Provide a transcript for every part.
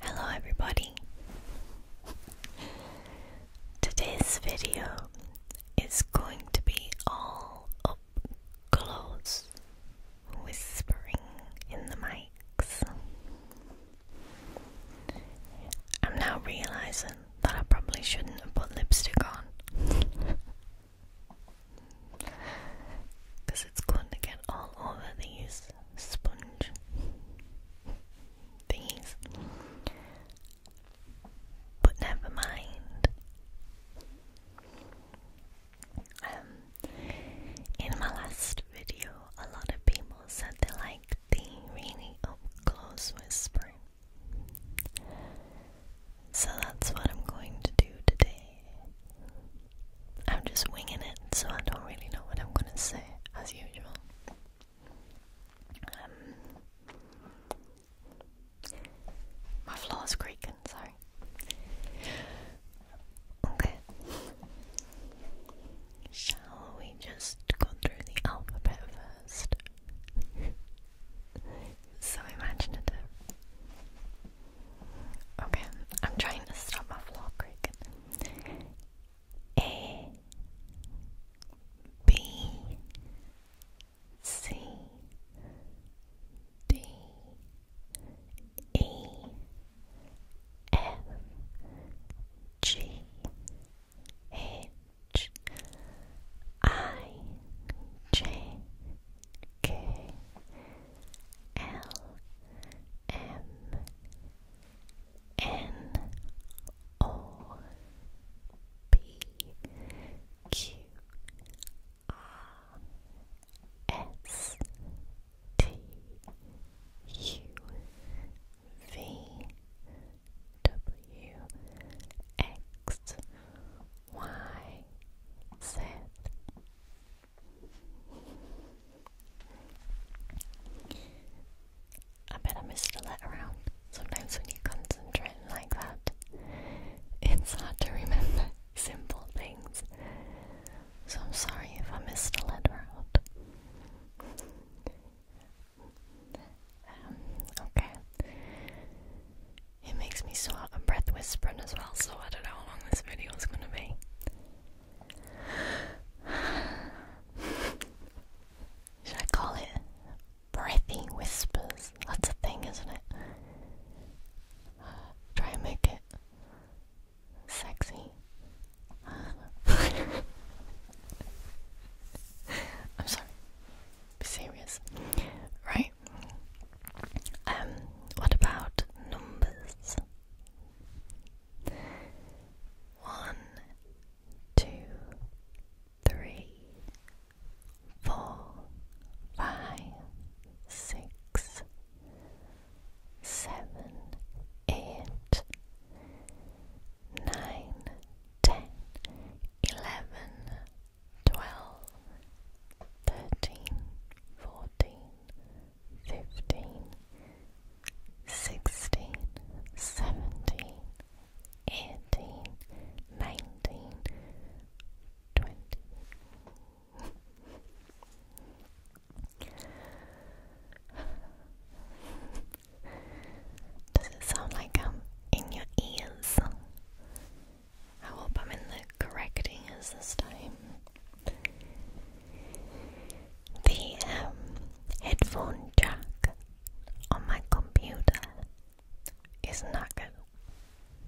Hello, everybody. Today's video is going to be all up close, whispering in the mics. I'm now realizing that I probably shouldn't have put lipstick on. Because it's going to get all over these sponge thingies. But never mind. Um, in my last video, a lot of people said they liked the really up close whispering. So that's what I'm going to do today. I'm just winging it, so I don't really know what I'm gonna say, as usual. Um, my my is creaking, sorry. Okay. Shall we just go through the alphabet first? so imaginative. Okay, I'm trying to stop my vlog cricket. A B C D E F G H H I J K L M N O P Q R S T U V W X Y Z. I bet I a letter out. Sometimes when you concentrate like that, it's hard to remember simple things. So I'm sorry if I missed a letter out. Um, okay. It makes me so out of breath whispering as well, so I don't know how long this video is gonna be. Should I call it breathy whispers? That's a thing, isn't it? try and make it sexy. I'm sorry. Be serious. Right? Um, what about numbers? One, two, three, four, five, six, seven, eight, nine, ten, eleven, twelve, thirteen, fourteen, fifteen, sixteen, seventeen, eighteen, nineteen, twenty. Does it sound like I'm in your ears? I hope I'm in the correct ears this time. The um, headphone jack on my computer is knackered.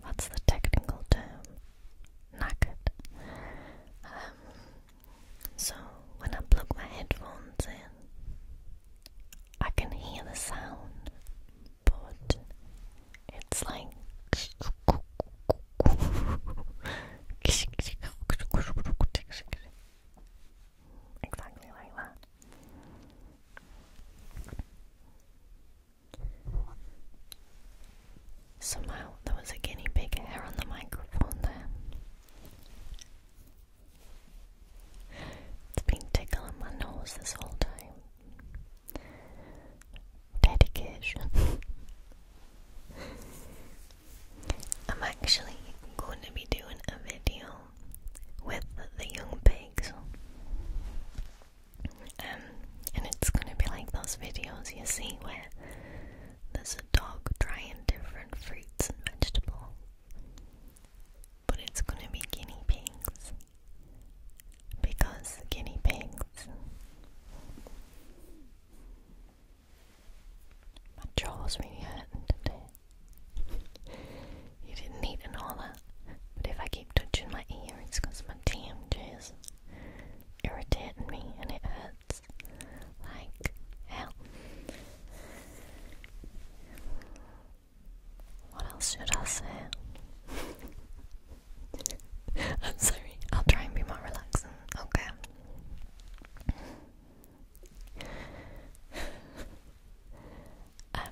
That's the technical term. Knackered. Um, so when I plug my headphones in, I can hear the sound, but it's like. Exactly like that. Somehow there was a guinea pig hair on the microphone there. It's been tickling my nose this whole time. Dedication. I'm actually going to be doing a video with the young pigs. Um, and it's gonna be like those videos you see where there's a dog trying different fruits and vegetables but it's gonna be guinea pigs because guinea pigs. My jaw's really hurting today. you didn't need to all that, but if I keep touching my ear, it's because my TMJ is irritating me and it hurts like hell. What else should I say? I'm sorry, I'll try and be more relaxing. Okay. Um,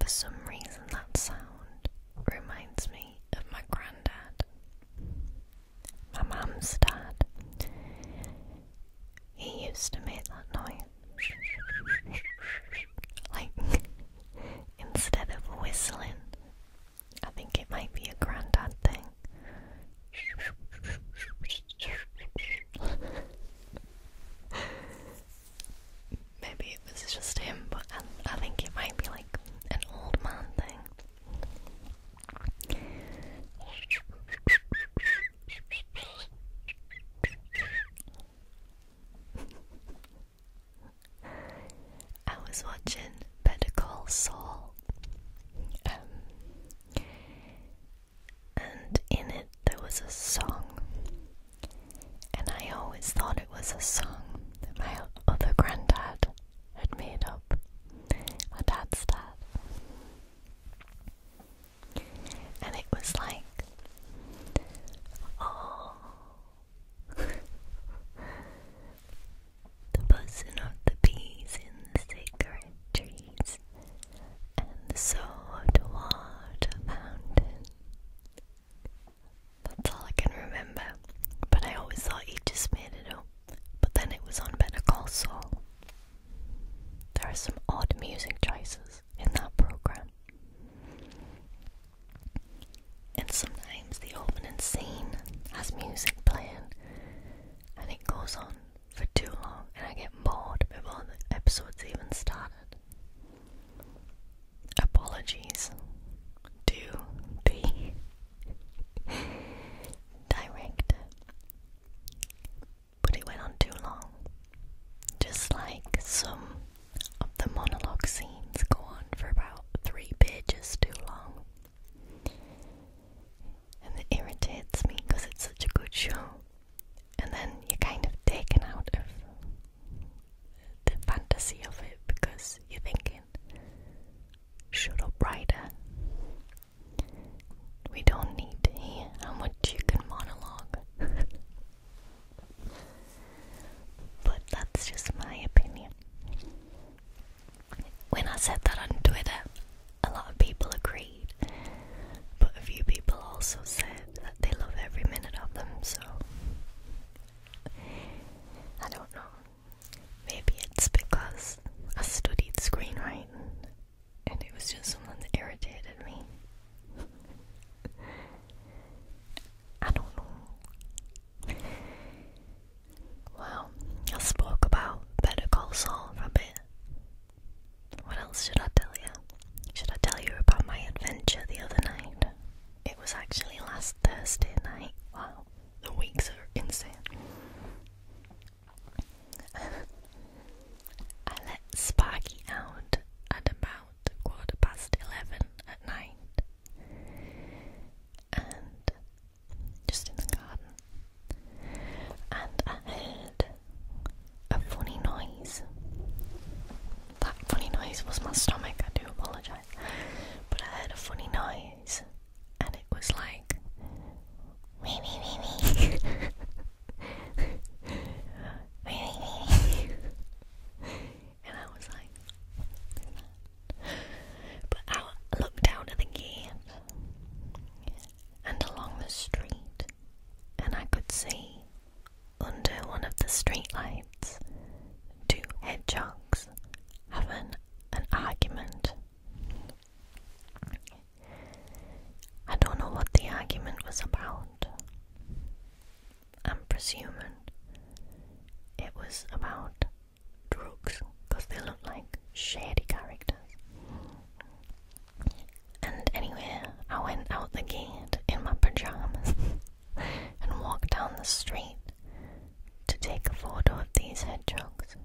for some reason, that sound reminds me of my granddad, my mum's dad. He used to make that noise. like, instead of whistling, I think it might be a granddad thing. Maybe it was just him, but I, think it might be like an old man thing. I was watching Better Call Saul. Um, and in it there was a song. And I always thought it was a song that my other granddad had made up. My dad's dad. And it was like, oh, the buzzing of the bees in the sacred trees and the salt water fountain. That's all I can remember, but I always thought he just made it up. But then it was on Better Call There are some odd music choices in that program. And sometimes the opening scene has music playing and it goes on for too long and I get bored before the episode's even started. Apologies to the director, but it went on too long. Just like some of the monologue scenes go on for about three pages too long. And it irritates me because it's such a good show and then you're kind of taken out of the fantasy of it because you're thinking, shut up, writer. We don't need how much you can monologue. but that's just my opinion. When I said that on Twitter, a lot of people agree. But a few people also said that they love every minute of them, so I don't know. Maybe it's because I studied screenwriting and it was just something that irritated me. I don't know. Well, I spoke about Better Call Saul for what else should I tell you? Should I tell you about my adventure the other night? It was actually last Thursday night. Wow, the weeks are insane. I let Sparky out at about quarter past eleven at night and just in the garden. And I a funny noise. That funny noise was my stomach, I do apologise. But I had a funny noise and it was like and I was like, But I looked out at the gate and along the street and I could see, under one of the streetlights, two hedgehogs having an argument. I don't know what the argument was about. I'm presuming it was about drugs because they look like shady characters. And anyway, I went out the gate in my pajamas and walked down the street to take a of these hedgehogs.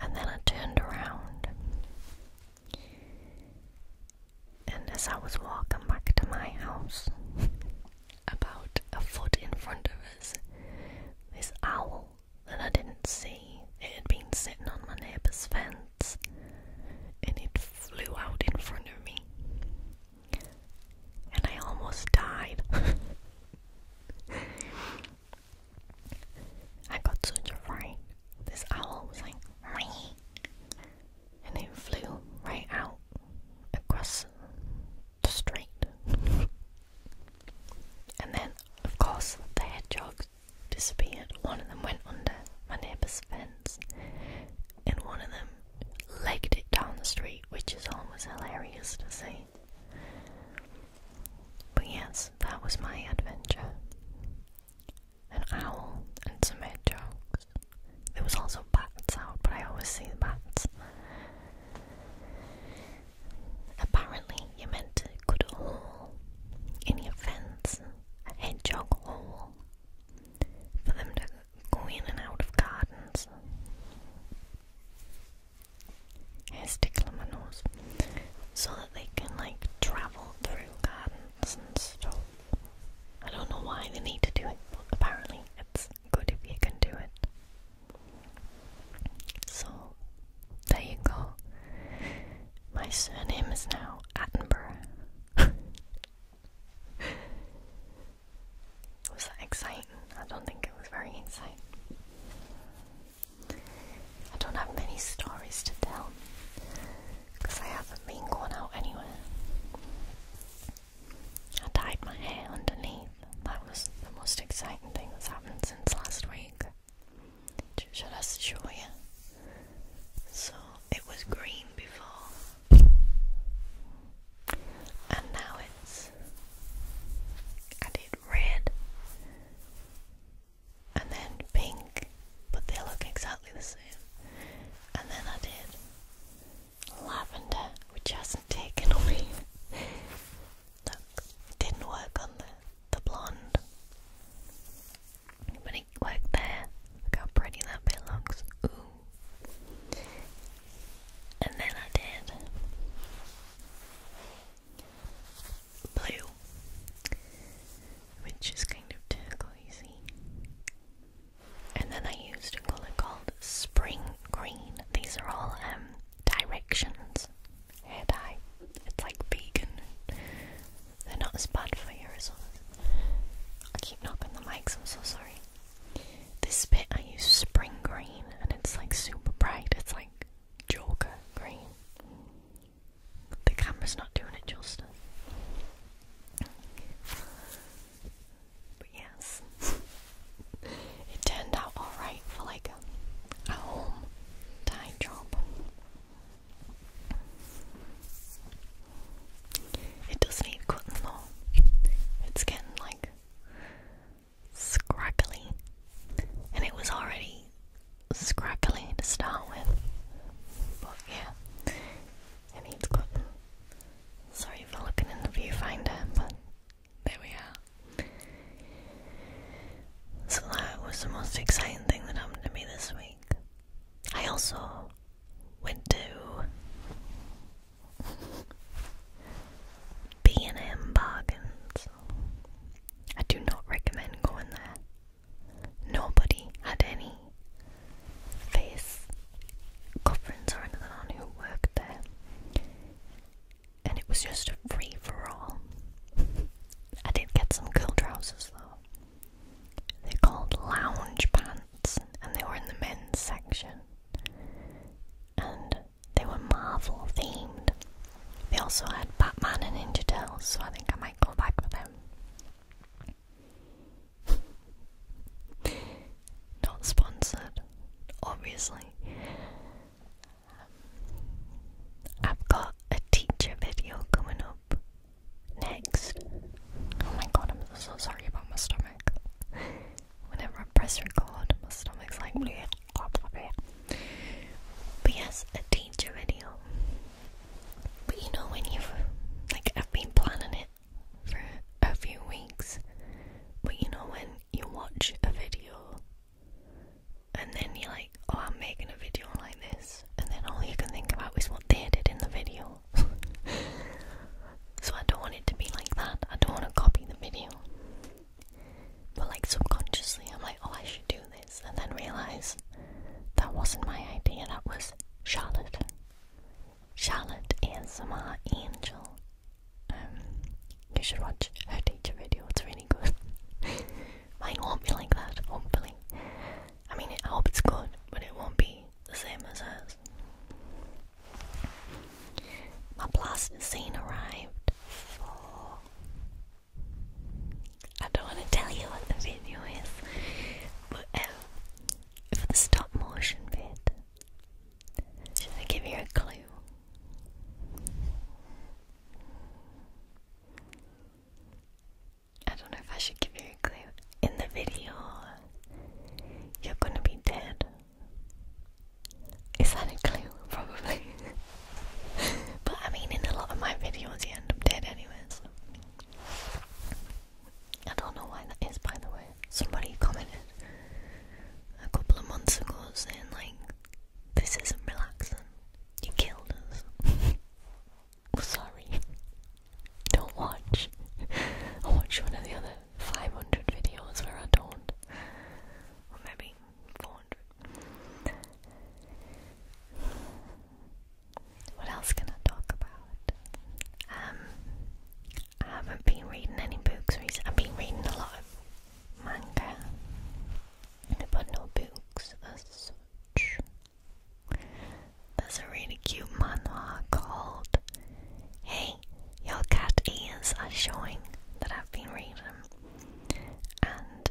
And then I turned around. And as I was walking back to my house, about a foot in front of us, this owl hole that I didn't see. It had been sitting on my neighbor's fence and it flew out in front of me. And I almost died. I got such a fright. This owl was like, Wee! and it flew right out across the street. and then, of course, the hedgehog disappeared. One of them went under my neighbour's fence, and one of them legged it down the street, which is almost hilarious to see. But yes, that was my adventure. An owl and some hedgehogs. There was also bats out, but I always see the bats. Apparently, you meant to cuddle in your fence, a hedgehog hole, for them to go in and out of gardens. Hair stickle on my so that they can like travel through gardens and stuff. I don't know why they need to do it, but apparently it's good if you can do it. So there you go. My surname is now Attenborough. was that exciting? I don't think it was very exciting. I don't have many stories to tell because I haven't been going out anywhere. I dyed my hair underneath. That was the most exciting thing that's happened since last week. Shall I show you? So it was green before, and now it's added red and then pink, but they look exactly the same. And then I did lavender, which hasn't taken away. Look, didn't work on the the blonde. But it worked Look how pretty that bit looks. Ooh. And then I did blue, which is kind of turquoisey. And then I used a colour called spring green. These are all um, directions hair dye. It's like vegan. They're not as bad for your results. I keep knocking the mics, I'm so sorry. This bit I use spring green and it's like super bright. It's like Joker green. The camera's not doing it justice. But yes, it turned out alright for like a home dye job. It does not need cutting though. It's getting like scraggly, and it was already scraggly to start with. But yeah, it needs cutting. Sorry for looking in the viewfinder, but there we are. So that was the most exciting thing that happened to me this week. I also went to B&M Bargains. I do not recommend going there. Nobody had any face coverings or anything on who worked there. And it was just a free for all. I did get some cool trousers though. They're called lounge pants and they were in the men's section. And they were Marvel themed. They also had Batman and Ninja Turtles, so I think I might go back for them. Not sponsored, obviously. I've got a teacher video coming up next. Oh my god, I'm so sorry about my stomach. Whenever I press record, my stomach's like, bleh, blah, blah, blah. but yes, a teacher video. But you know, when you've like, I've been planning it for a few weeks, but you know, when you watch a video and then you're like, oh, I'm making a video like this, and then all you can think about is what they did in the video. so I don't want it to be like that. I don't want to copy the video. But like subconsciously, I'm like, oh, I should do this, and then realize that wasn't my idea. That was Charlotte. Charlotte ASMR Angel. Um, you should watch her teacher video. It's really good. Mine won't be like that, hopefully. I mean, I hope it's good, but it won't be the same as hers. My plasticine arrived I don't want to tell you what the video is, but um, for the stop motion bit, should I give you a clue? I don't know if I should give you a clue. In the video, you're gonna be dead. Is that a clue? Probably. but I mean, in a lot of my videos, you end up dead anyways. I don't know why that is, by the way. Somebody commented a couple of months ago saying, like, this isn't relaxing. You killed us. Sorry. Don't watch. i watch one of the other 500 videos where I don't. Or maybe 400. What else can I talk about? Um, I haven't been reading any books recently. I've been reading a lot of manga but no books as such. There's a really cute manhwa called Hey, Your Cat Ears Are Showing that I've been reading, and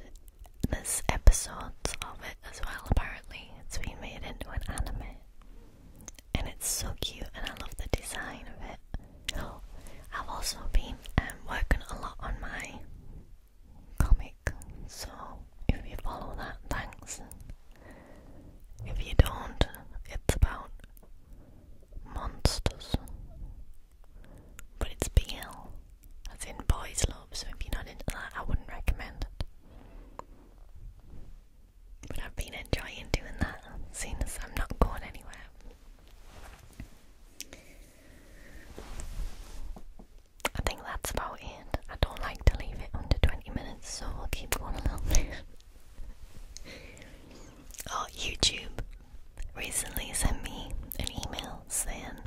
there's episodes of it as well, apparently. It's been made into an anime, and it's so cute, and I love the design of it. Oh, I've also been um, working a lot on my comic. So if you follow that, thanks. If you don't, it's about monsters. But it's BL, as in boys' love, so if you're not into that, I wouldn't recommend it. But I've been enjoying doing that, seeing as I'm not going anywhere. I think that's about it. I don't like to leave it under 20 minutes, so we'll keep going a little oh, YouTube recently sent me an email saying,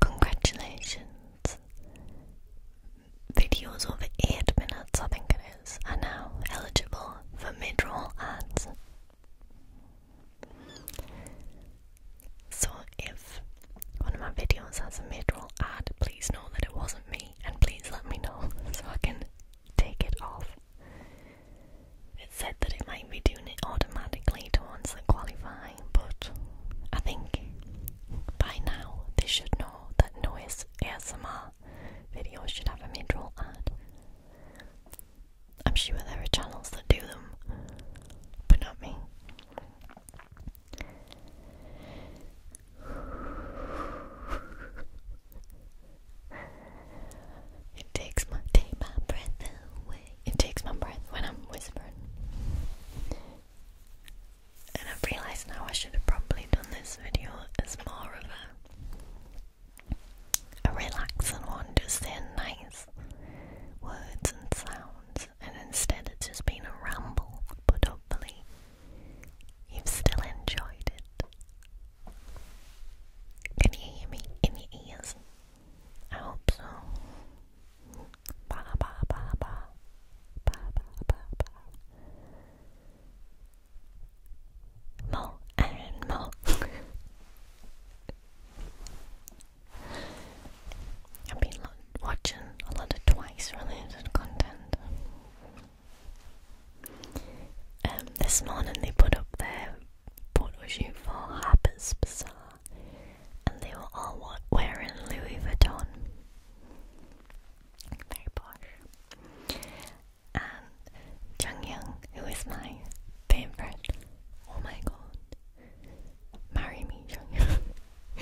Congratulations! Videos over 8 minutes, I think it is, are now eligible for mid roll ads. So if one of my videos has a midroll ad, please know that it wasn't me and please let me know so I can take it off. It said that it might be doing it automatically to ones that qualify, but I think by now they should know that noise ASMR videos should have a midroll ad. I'm sure there are channels that do them, but not me. It takes my take my breath away. It takes my breath when I'm whispering. And I've realised now I should have probably done this video as more of a a relaxing one, just saying nice words, and sounds, and instead it's just been a ramble, but hopefully you've still enjoyed it. Can you hear me in your ears? I hope so. ba ba ba ba ba ba ba. More and more. I've been watching a lot of Twice related content. Um, this morning they put up their photo shoot for Harper's Bazaar, and they were all wearing Louis Vuitton. Very posh. And Jung Young, who is my favourite, oh my god, Marry me,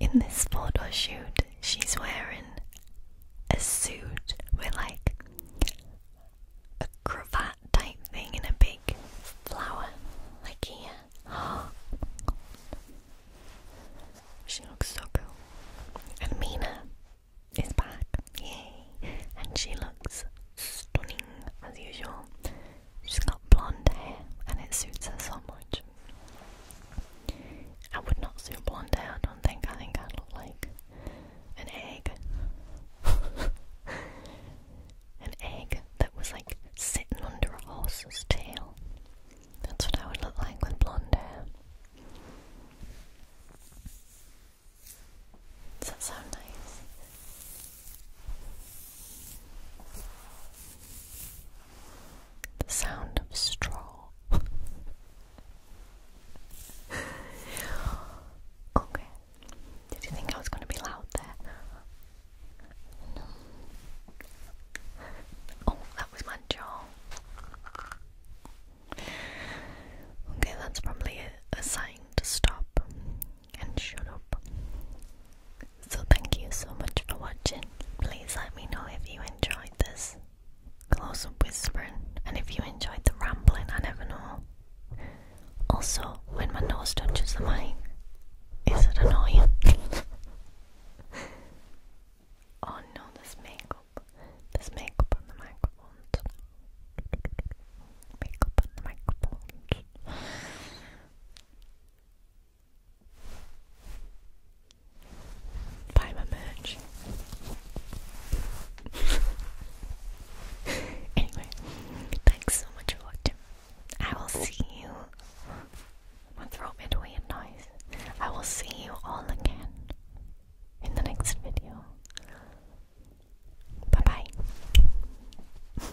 In this photo shoot, she's wearing a suit with like a cravat type thing and a big flower, like here. she looks so cool. And Mina is back. Yay and she looks stunning as usual. She's got blonde hair and it suits her so much. I would not suit blonde hair, I don't think. I think I'd look like an egg. an egg that was like sitting under a horse's tail. That's what I would look like with blonde hair. Does that sound nice? The sound of straw. okay. Did you think I was going to be loud there? Oh, that was my jaw. Okay, that's probably a sign to stop and shut up. So thank you so much for watching. Please let me know if you enjoyed this close up whispering and if you enjoyed the rambling, I never know. Also, when my nose touches the mic, is it annoying? oh no, there's makeup. There's makeup on the microphones. Makeup on the microphones. Buy my merch. anyway, thanks so much for watching. I will see you. My throat made a noise. I will see you all again in the next video. Bye bye.